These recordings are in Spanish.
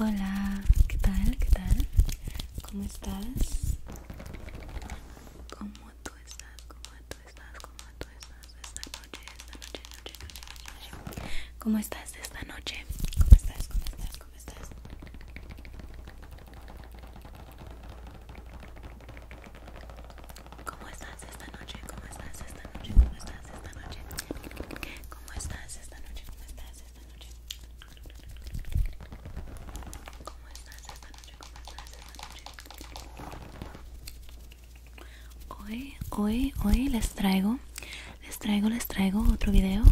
Hola, ¿qué tal? ¿Qué tal? ¿Cómo estás? ¿Cómo tú estás? ¿Cómo tú estás? ¿Cómo tú estás esta noche? Esta noche, noche, ¿Cómo estás esta noche? ¿Cómo estás? ¿Cómo estás? ¿Cómo estás? esta noche? ¿Cómo estás esta noche? ¿Cómo estás esta noche? ¿Cómo estás esta noche? ¿Cómo estás esta noche? ¿Cómo estás esta noche? ¿Cómo esta noche? Hoy, hoy, hoy les traigo, les traigo, les traigo otro video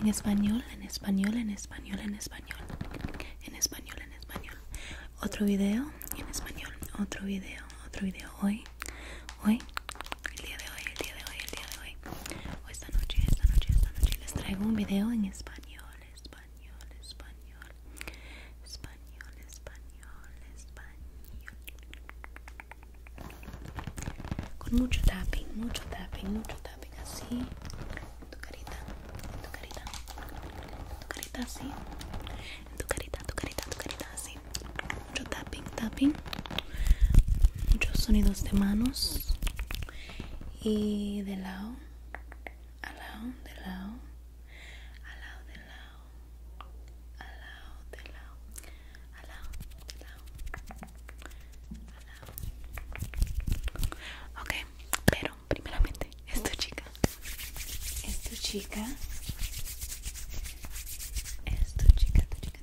en español, en español, en español, en español, en español, en español. Otro video en español, otro video, otro video. Hoy, hoy, el día de hoy, el día de hoy, el día de hoy o esta noche, esta noche, esta noche les traigo un video en español, español, español español, español, español con mucho tapping, mucho tapping, mucho tapping así en tu carita, en tu carita en tu carita así en tu carita, tu carita, tu carita así mucho tapping tapping muchos sonidos de manos y de lado al lado de lado al lado de lado al lado de lado al lado de lado al lado ok pero primeramente esto chica esto chica esto chica tu chica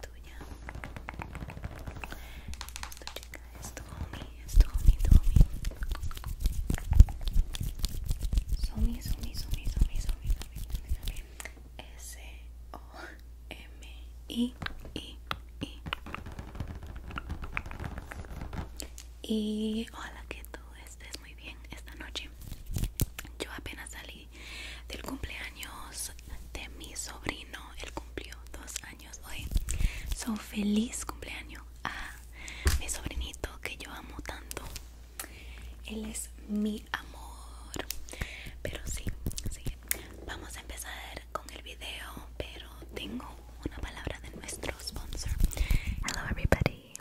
tuya. Esto, chica, es tu homie, es s o m i i Y hola, que tú estés muy bien esta noche. Yo apenas salí del cumpleaños de mi sobrino. Él cumplió dos años hoy. ¡Son feliz cumpleaños a mi sobrinito que yo amo tanto. Él es mi amor. Pero sí, sí. Vamos a empezar con el video, pero tengo una palabra de nuestro sponsor. Hello everybody.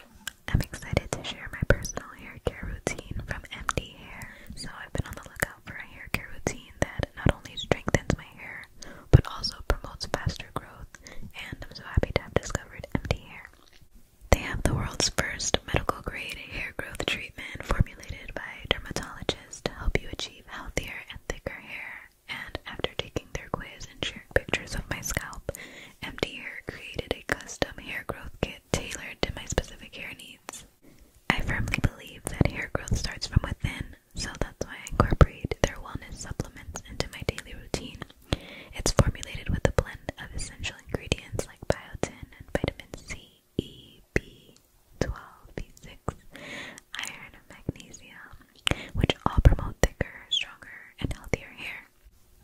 I'm excited to share my personal hair care routine from MD Hair. So I've been on look out for a hair care routine that not only strengthens my hair but also promotes faster growth, and I'm so happy to have discovered Empty Hair. They have the world's first medical grade hair growth treatment formulated by dermatologists to help you achieve healthier and thicker hair. And after taking their quiz and sharing pictures of my scalp, Empty Hair created a custom hair growth kit tailored to my specific hair needs. I firmly believe that hair growth starts from within, so that's why I incorporate their wellness supplements into my daily routine. It's formulated with a blend of essential ingredients like biotin and vitamin C, E, B12, B6, iron, and magnesium, which all promote thicker, stronger, and healthier hair.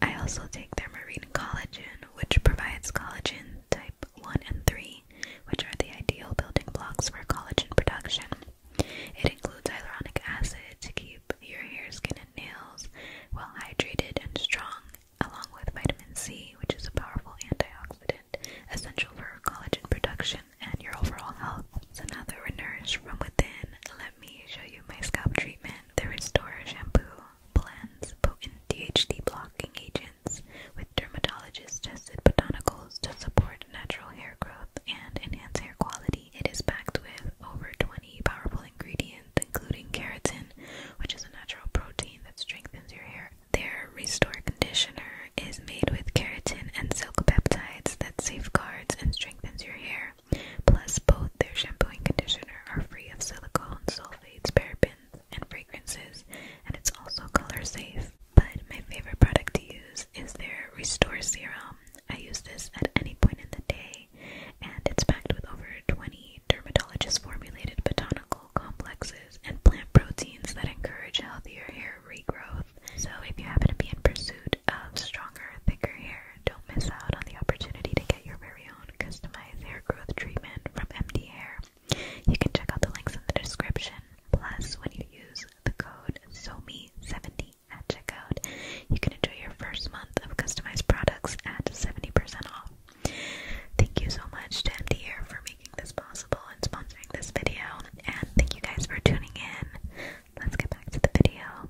I also take their marine collagen, which provides collagen type 1 and 3, which are the ideal building blocks for collagen production. It includes hyaluronic acid to keep your hair, skin, and nails well hydrated and strong, along with vitamin C, which is a powerful antioxidant essential for collagen production and your overall health. So now that we're nourished from within, let me show you my scalp treatment, the Restore shampoo plants, DHT blocking agents with dermatologist tested botanicals to support natural hair growth and enhance hair quality. It is packed with over 20 powerful ingredients, including keratin, which is a natural protein that strengthens your hair. Their Restore Conditioner is made with keratin and silk peptides that safeguards and strengthens your hair. Plus, both their shampoo and conditioner are free of silicone, sulfates, parabens, and fragrances, and it's also color safe. But my favorite product to use is their Restore Serum. I use this at any point in the day, and it's packed with over 20 dermatologist formulated botanical complexes and plant proteins that encourage healthier hair regrowth. So, if you happen to be in pursuit of stronger, thicker hair, don't miss out on the opportunity to get your very own customized hair growth treatment from MD Hair. You can check out the links in the description. Plus, when you use the code SOMI70 at checkout, you can enjoy your first month of customized products at 70% off. Thank you so much to MD Air for making this possible and sponsoring this video, and thank you guys for tuning in. Let's get back to the video.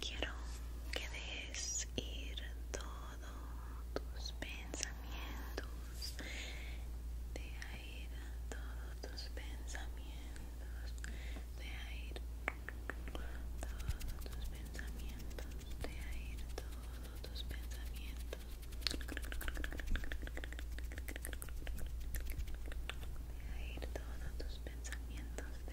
Quiero que des ir todos tus pensamientos. de ir todos tus pensamientos. de ahí todos tus pensamientos. de ahí todos tus pensamientos. de ahí todos tus pensamientos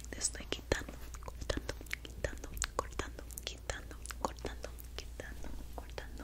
No te estoy quitando, cortando, quitando, cortando, quitando, cortando, quitando, cortando,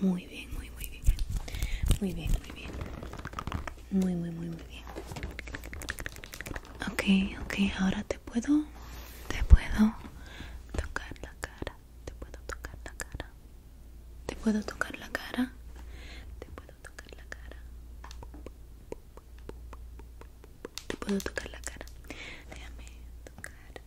Muy bien, muy, muy bien. Muy bien, muy bien. Muy, muy, muy, muy bien. Ok, ok, ahora te puedo, te puedo tocar la cara. Te puedo tocar la cara. Te puedo tocar la cara. Te puedo tocar la cara. Te puedo tocar la cara. Déjame tocarte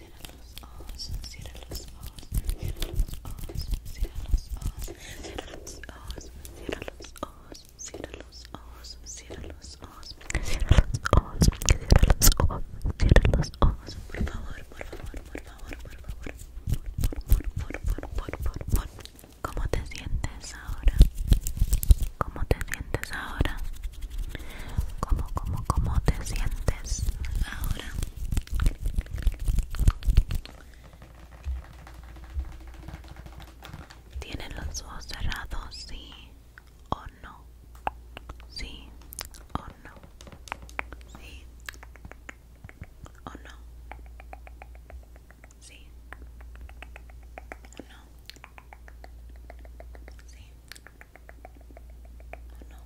cierra los ojos, cierra los ojos, cierra los ojos, cierra los ojos, cierra los ojos, cierra los ojos, cierra los ojos, cierra los ojos, cierra los ojos, cierra los por cierra los favor, por favor, por favor, por favor, por favor, por, por, por, por, ¿cómo te sientes ahora? ¿Cómo te sientes ahora? ¿Cómo, cómo, cómo te sientes ahora? tienen los ojos cerrados? Sí o no. Sí o no. Sí o no. Sí o no. Sí ¿O no?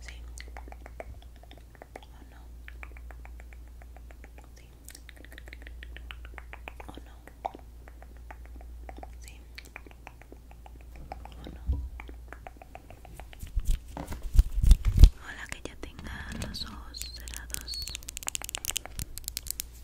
Sí. ¿O no? Sí. ¿O no? Sí. ¿O no? Hola, que ya tengan los ojos cerrados.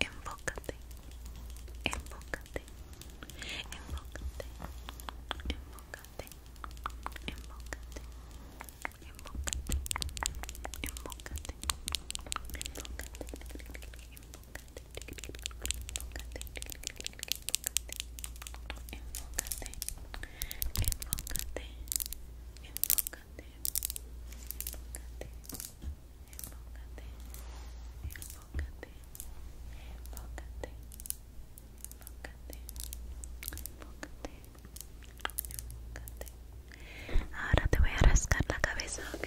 Enfócate, enfócate, enfócate, enfócate, enfócate, enfócate, enfócate, enfócate. Ahora te voy a rascar la cabeza, ¿ok?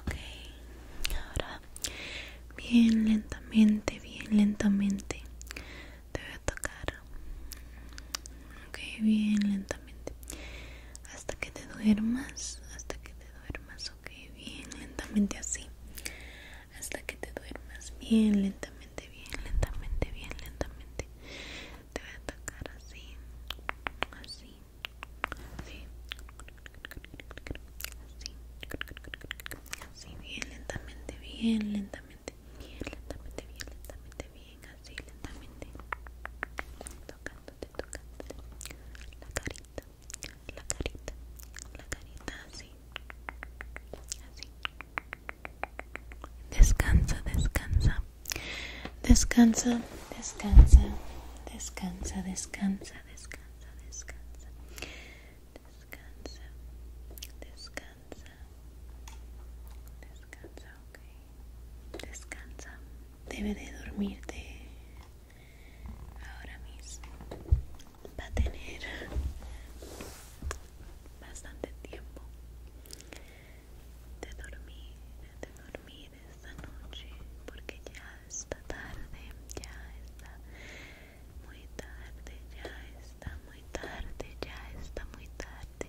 Ok, ahora bien lentamente, bien lentamente te voy a tocar. Ok, bien lentamente. Hasta que te duermas, hasta que te duermas. Ok, bien lentamente así hasta que te duermas bien lentamente, bien lentamente, bien lentamente. Te voy a tocar así, así, así, así, bien lentamente, bien lentamente, bien lentamente, bien lentamente, bien así lentamente, tocándote, tocándote la carita, la carita, la carita así. Así, Descansa, descansa. Descansa, descansa. Descansa, descansa, descansa, descansa. Descansa. Descansa. Descansa, ok. Descansa. Debe de dormirte ahora mismo. Va a tener bastante tiempo de dormir, de dormir esta noche porque ya está tarde, ya está muy tarde, ya está muy tarde, ya está muy tarde.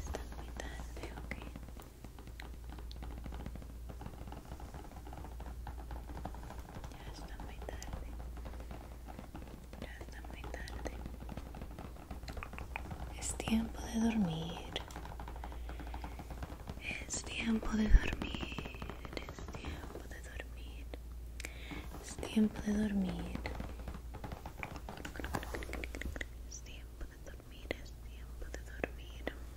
está muy tarde, ok. Ya está muy tarde. Ya está muy tarde. Es tiempo de dormir. Es tiempo de dormir. Es tiempo de dormir. Es tiempo de dormir. Es tiempo de dormir. Es tiempo de dormir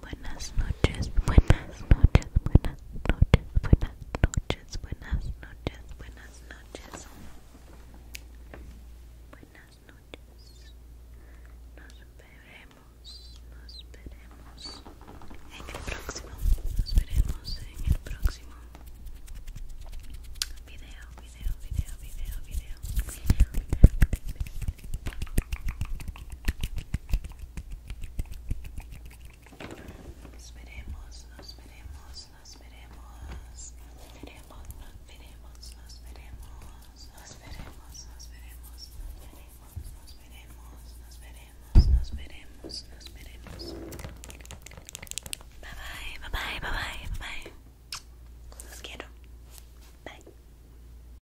buenas noches, buenas noches, buenas noches, buenas noches, buenas noches, buenas noches. Buenas noches. Nos veremos, nos veremos en el próximo. Nos veremos en el próximo video, Nos veremos, nos veremos, nos veremos. Nos veremos, nos veremos, nos veremos. Nos veremos, nos veremos, nos veremos. Nos veremos, nos veremos, nos veremos, nos veremos. Bye bye, bye bye, bye bye, bye. Los quiero. Bye.